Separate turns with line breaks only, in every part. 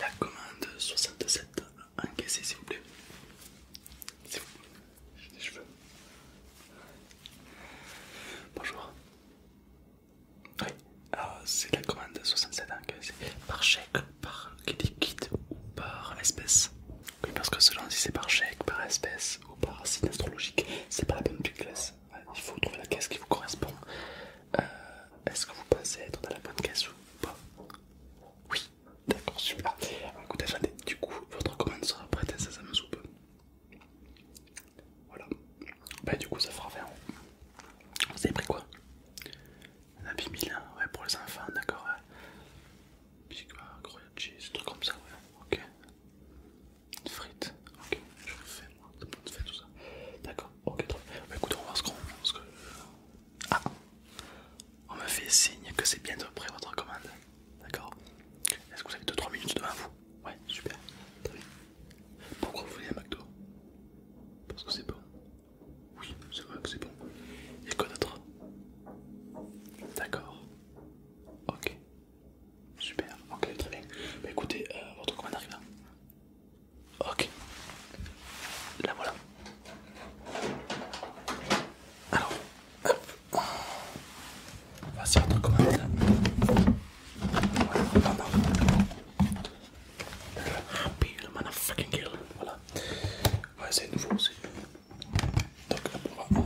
La commande 67, encaissée s'il vous plaît. C'est vous. J'ai Bonjour. Oui, ah, c'est la commande 67 encaissée. Par chèque, par liquide ou par espèce. Oui, parce que selon si c'est par chèque, par espèce ou par signe astrologique, c'est pas la bonne plus classe. Il faut trouver la caisse qui vous correspond. Euh, est-ce que vous pensez être dans la bonne caisse ou pas Oui, d'accord, super. du coup, votre commande sera prête à sa soupe. Voilà. Bah, du coup, ça fera 20 euros. Vous avez pris quoi Un habit ouais, pour les enfants, d'accord. Big croyant Cheese, truc comme ça, ouais, ok. Une frite, ok, je vous fais tout le fait tout ça. D'accord, ok, très bien. Bah, on va se qu'on parce que... Ah On me fait signe que c'est bientôt prêt votre commande. D'accord Est-ce que vous avez 2-3 minutes devant vous Ouais, super. Très bien. Pourquoi vous voulez un McDo Parce que c'est bon. Oui, c'est vrai que c'est bon. Et quoi d'autre D'accord. Ok. Super, ok, très bien. Bah écoutez, euh, votre commande arrive là. Ok. La voilà. Alors, hop. On va un truc comme voilà, non, Voilà. Ouais, c'est nouveau aussi. Donc, on va.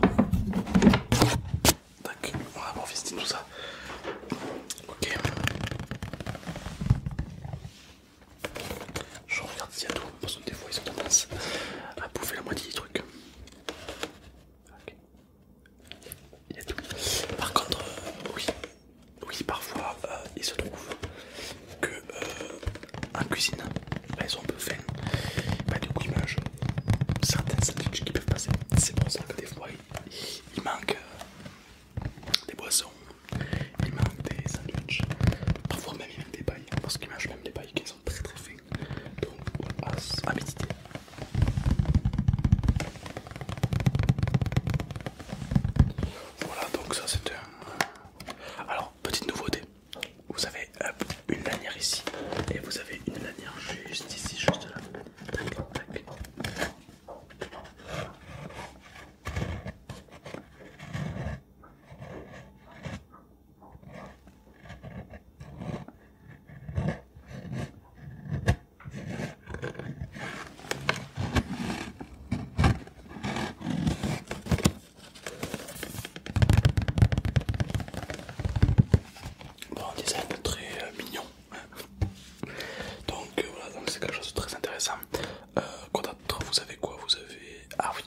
on va tout ça. Ok. Je regarde s'il y a tout, parce que des fois ils ont tendance à bouffer la moitié des trucs. Ok. Il y tout. Par contre, euh, oui, oui, parfois euh, il se trouve que euh, cuisine, bah, ils ont un peu faim. Bah, du coup, ils mangent certains sandwichs qui peuvent passer. C'est pour ça que des fois ils manquent des boissons, il manque des sandwiches, parfois même des pailles, hein, parce qu'il mange même des pailles qui sont très très fines, donc à, à méditer. Voilà, donc ça c'était un... Alors, petite nouveauté, vous avez euh, une lanière ici, et vous avez une lanière juste ici, juste là. Tac, tac. Bon, design très euh, mignon. Donc euh, voilà, c'est quelque chose de très intéressant quoi euh, d'autre Vous avez quoi Vous avez. Ah oui,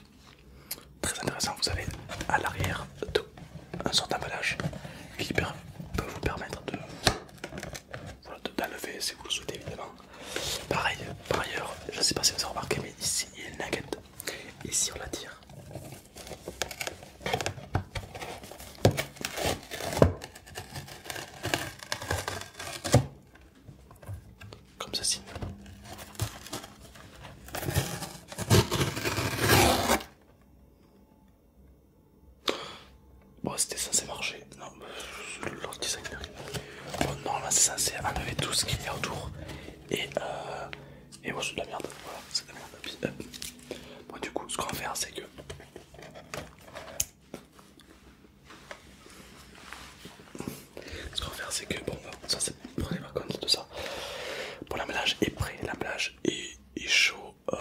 très intéressant. Vous avez à l'arrière un sort d'emballage qui peut vous permettre de voilà, d'enlever si vous le souhaitez, évidemment. Pareil, par ailleurs, je ne sais pas si vous avez remarqué, mais ici il y a une nugget. Ici, on la tire, comme ça ceci. Bon, c'était censé marcher. Non, l'autre designer. Bon, non, c'est censé enlever tout ce qu'il y a autour. Et euh. Et bon, c'est de la merde. Voilà, c'est de la merde. Bon, euh, du coup, ce qu'on va faire, c'est que. Ce qu'on va faire, c'est que bon, bah, ça c'est une les vacances, de ça. Bon, l'emballage est prêt, l'emballage est, est chaud. Euh,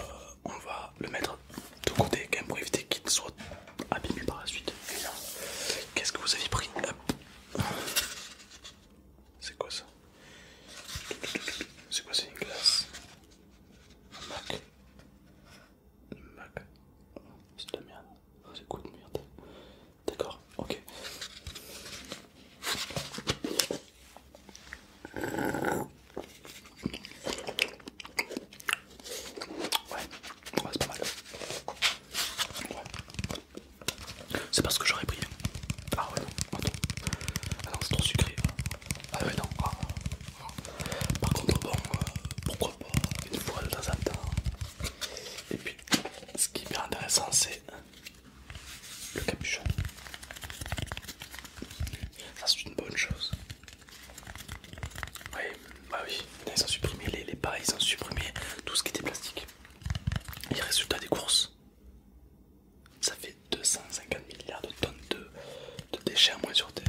on va le mettre de côté quand même pour éviter qu'il soit abîmé par la suite. Qu'est-ce que vous avez pris C'est quoi ça C'est quoi, c'est une glace Un Mac c'est de la merde. C'est cool de merde D'accord, ok. Ouais, c'est pas mal. C'est parce que j'aurais pris. Ah ouais, non, attends. Ah non, c'est trop sucré. Ah ouais, non. Ah. Par contre, bon, euh, pourquoi pas une fois de temps en temps. Et puis, ce qui est bien intéressant, c'est le capuchon. Ça, c'est une bonne chose. Oui, bah oui, ils ont supprimé les, les ils ont supprimé tout ce qui était plastique. Et résultat des courses, ça fait 250 milliards de tonnes de, déchets en moins sur Terre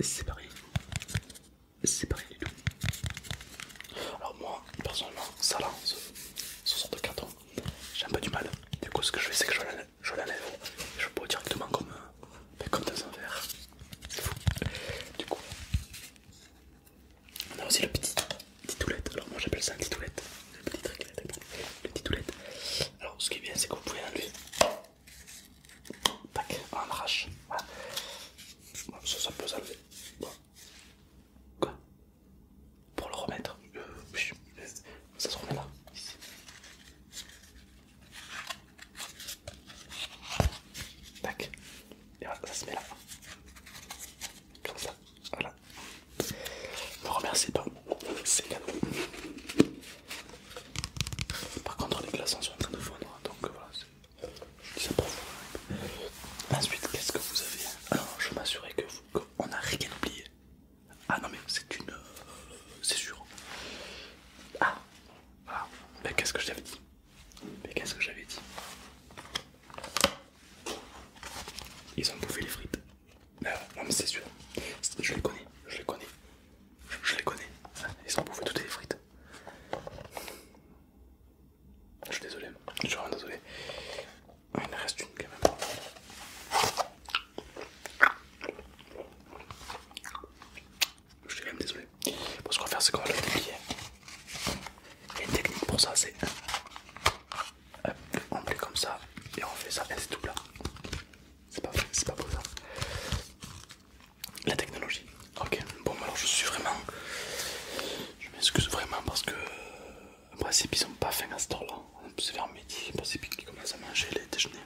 c'est pareil, c'est pareil alors moi personnellement ça là ce, sort de carton j'ai un peu du mal du coup ce que je fais c'est que je l'enlève je bois directement comme, mais ben, comme dans un verre c'est fou du coup on a aussi le petit titoulette alors moi j'appelle ça un titoulette le petit truc le titoulette alors ce qui est bien c'est que vous pouvez enlever Tac, on arrache. ça, ça peut s'enlever. Quoi Pour le remettre euh, Ça se remet là. Tac. Et voilà, ça se met là. Comme ça. Voilà. Ne remerciez pas. C'est cadeau. Par contre, les glaçons sont en train de fondre, hein, donc voilà, c'est Ensuite, qu'est-ce que vous avez hein Alors, ah, je m'assurais que on qu'on n'a rien oublié. Ah non, mais c'est une. Euh, c'est sûr. Ah, ah Mais qu'est-ce que j'avais dit Mais qu'est-ce que j'avais dit Ils ont bouffé les frites. Euh, non, mais c'est sûr. Je les connais, je les connais. Je, les connais. Ils ont bouffé toutes les frites. Je suis désolé. Je suis vraiment désolé. Ah, il en reste une quand même. Je suis quand même désolé. Bon, ce qu'on va faire, c'est qu'on va le déplier. Il y une technique pour ça, c'est. on plie comme ça et on fait ça et c'est tout plat. C'est pas, pas beau ça. La technologie. Ok, bon alors je suis vraiment... Je m'excuse vraiment parce que... En principe ils ont pas faim à ce temps là. C'est vers midi, en principe qu'ils commencent à manger les déjeuners.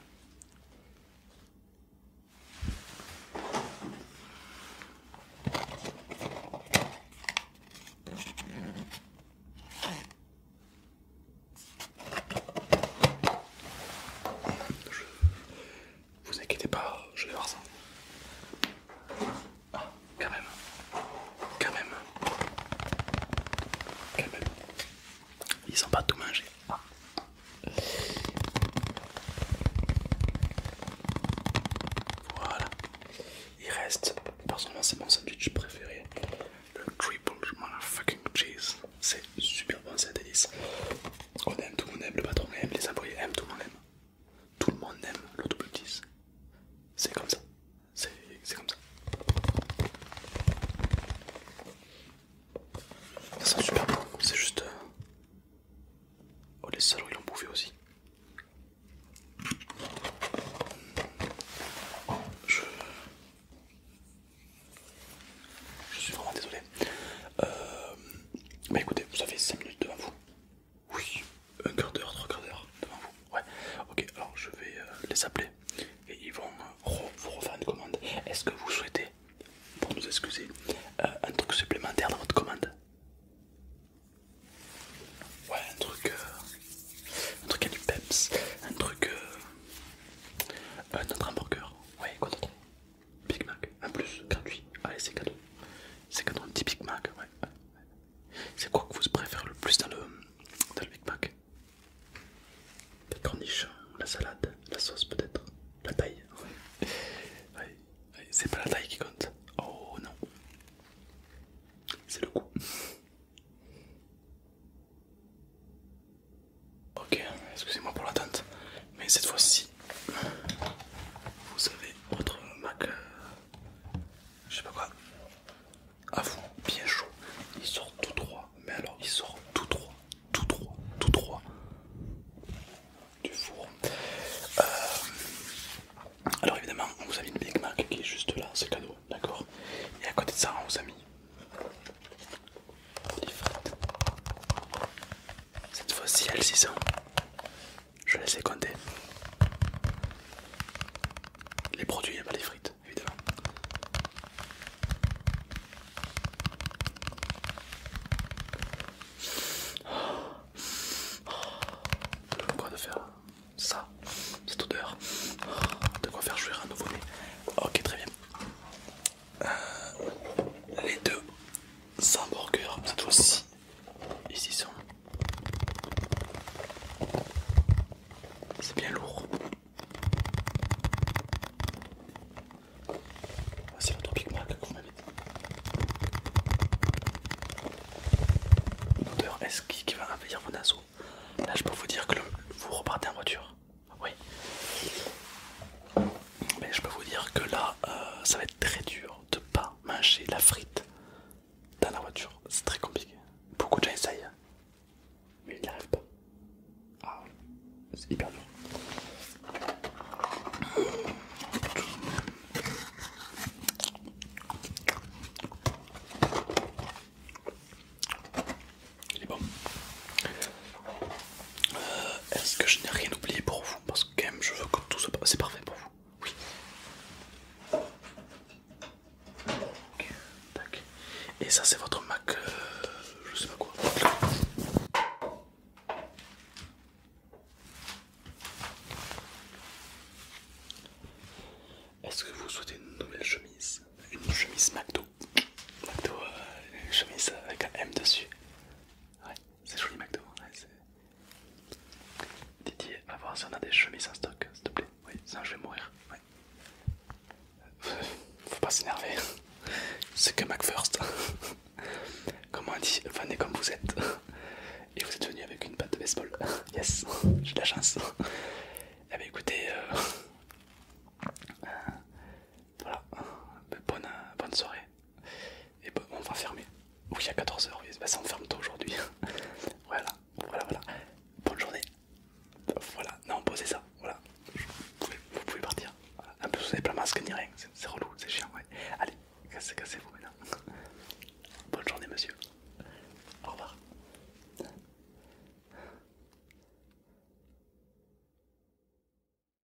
Vous inquiétez pas, je vais voir ça. Ah, quand même. Quand même. Quand même. Ils ont pas tout mangé. Ah. Voilà. Il reste, personnellement c'est mon sandwich préféré. Le triple motherfucking cheese. C'est super bon, c'est délice. On aime, tout le monde aime, le patron aime, les employés aiment, tout le monde aime. Tout le monde aime le double 10. C'est comme ça. C'est comme ça. Ça sent super bon, c'est juste... Euh, oh les salauds ils l'ont bouffé aussi. Je... Je suis vraiment désolé. mais euh, bah écoutez, vous avez 5 minutes devant vous. Oui, un quart d'heure, trois quarts d'heure devant vous. Ouais, ok, alors je vais euh, les appeler et ils vont euh, vous refaire une commande. Est-ce que vous souhaitez, pour nous excuser, un truc supplémentaire dans votre commande Ouais, un truc. un truc à du peps, un truc. un autre hamburger. Ouais, quoi d'autre Big Mac, un plus, gratuit. Allez, c'est cadeau. C'est cadeau, un petit Big Mac, ouais. C'est quoi que vous préférez le plus dans le, dans Big Mac La corniche, la salade, la sauce peut-être, la taille. C'est pas la taille qui compte. Oh non. C'est le goût. Ok, excusez-moi pour l'attente, mais cette fois-ci, vous avez votre Mac, euh, je sais pas quoi, à vous, bien chaud. Il sort tout droit, mais alors il sort tout droit, tout droit, tout droit du four. Euh, alors évidemment, vous avez mis Big Mac qui est juste là, c'est cadeau, d'accord Et à côté de ça, on vous a mis les frites. Cette fois-ci, elle s'y sont. Je vais laisser compter Les produits, hein, pas les frites, évidemment. Oh. quoi de faire ça, cette odeur oh, De quoi faire jouer un nouveau nez Ok, très bien les deux hamburgers cette fois-ci. Ici sont. C'est bien lourd. Ah, c'est l'autre Big Mac vous m'avez dit. L'odeur est-ce qui, va réveiller vos naseaux Là je peux vous dire que vous repartez en voiture. Oui mais je peux vous dire que là, euh, ça va être très dur de pas manger la frite dans la voiture. C'est très compliqué. Beaucoup de gens essayent, mais ils n'y arrivent pas. Ah, c'est hyper dur. Il est bon. Euh, est-ce que je n'ai rien oublié pour vous Parce que quand même je veux que tout passe. C'est parfait pour vous Oui. Tac. Et ça c'est votre Mac... Euh, je sais pas quoi. Est-ce que vous souhaitez une nouvelle chemise Une chemise McDo McDo, euh, une chemise avec un M dessus Ouais, c'est joli McDo. Hein, c'est... Didier, à voir si on a des chemises en stock, s'il te plaît. Oui, ça je vais mourir. Ouais. Euh, faut pas s'énerver, c'est que McFirst. Comme on dit, venez comme vous êtes. Et vous êtes venu avec une patte de baseball. Yes, j'ai de la chance. Eh bien écoutez, euh, euh, voilà, ben, bonne, bonne soirée. Et bah, on va fermer. Oui, à 14h, oui. ça on ferme tôt aujourd'hui. voilà, voilà, voilà. Bonne journée. Voilà, non, posez ça. Voilà, vous pouvez, partir. Un peu plus, vous n'avez pas masque ni rien. C'est relou, c'est chiant, ouais. Allez, cassez-vous maintenant. Bonne journée, monsieur. Au revoir.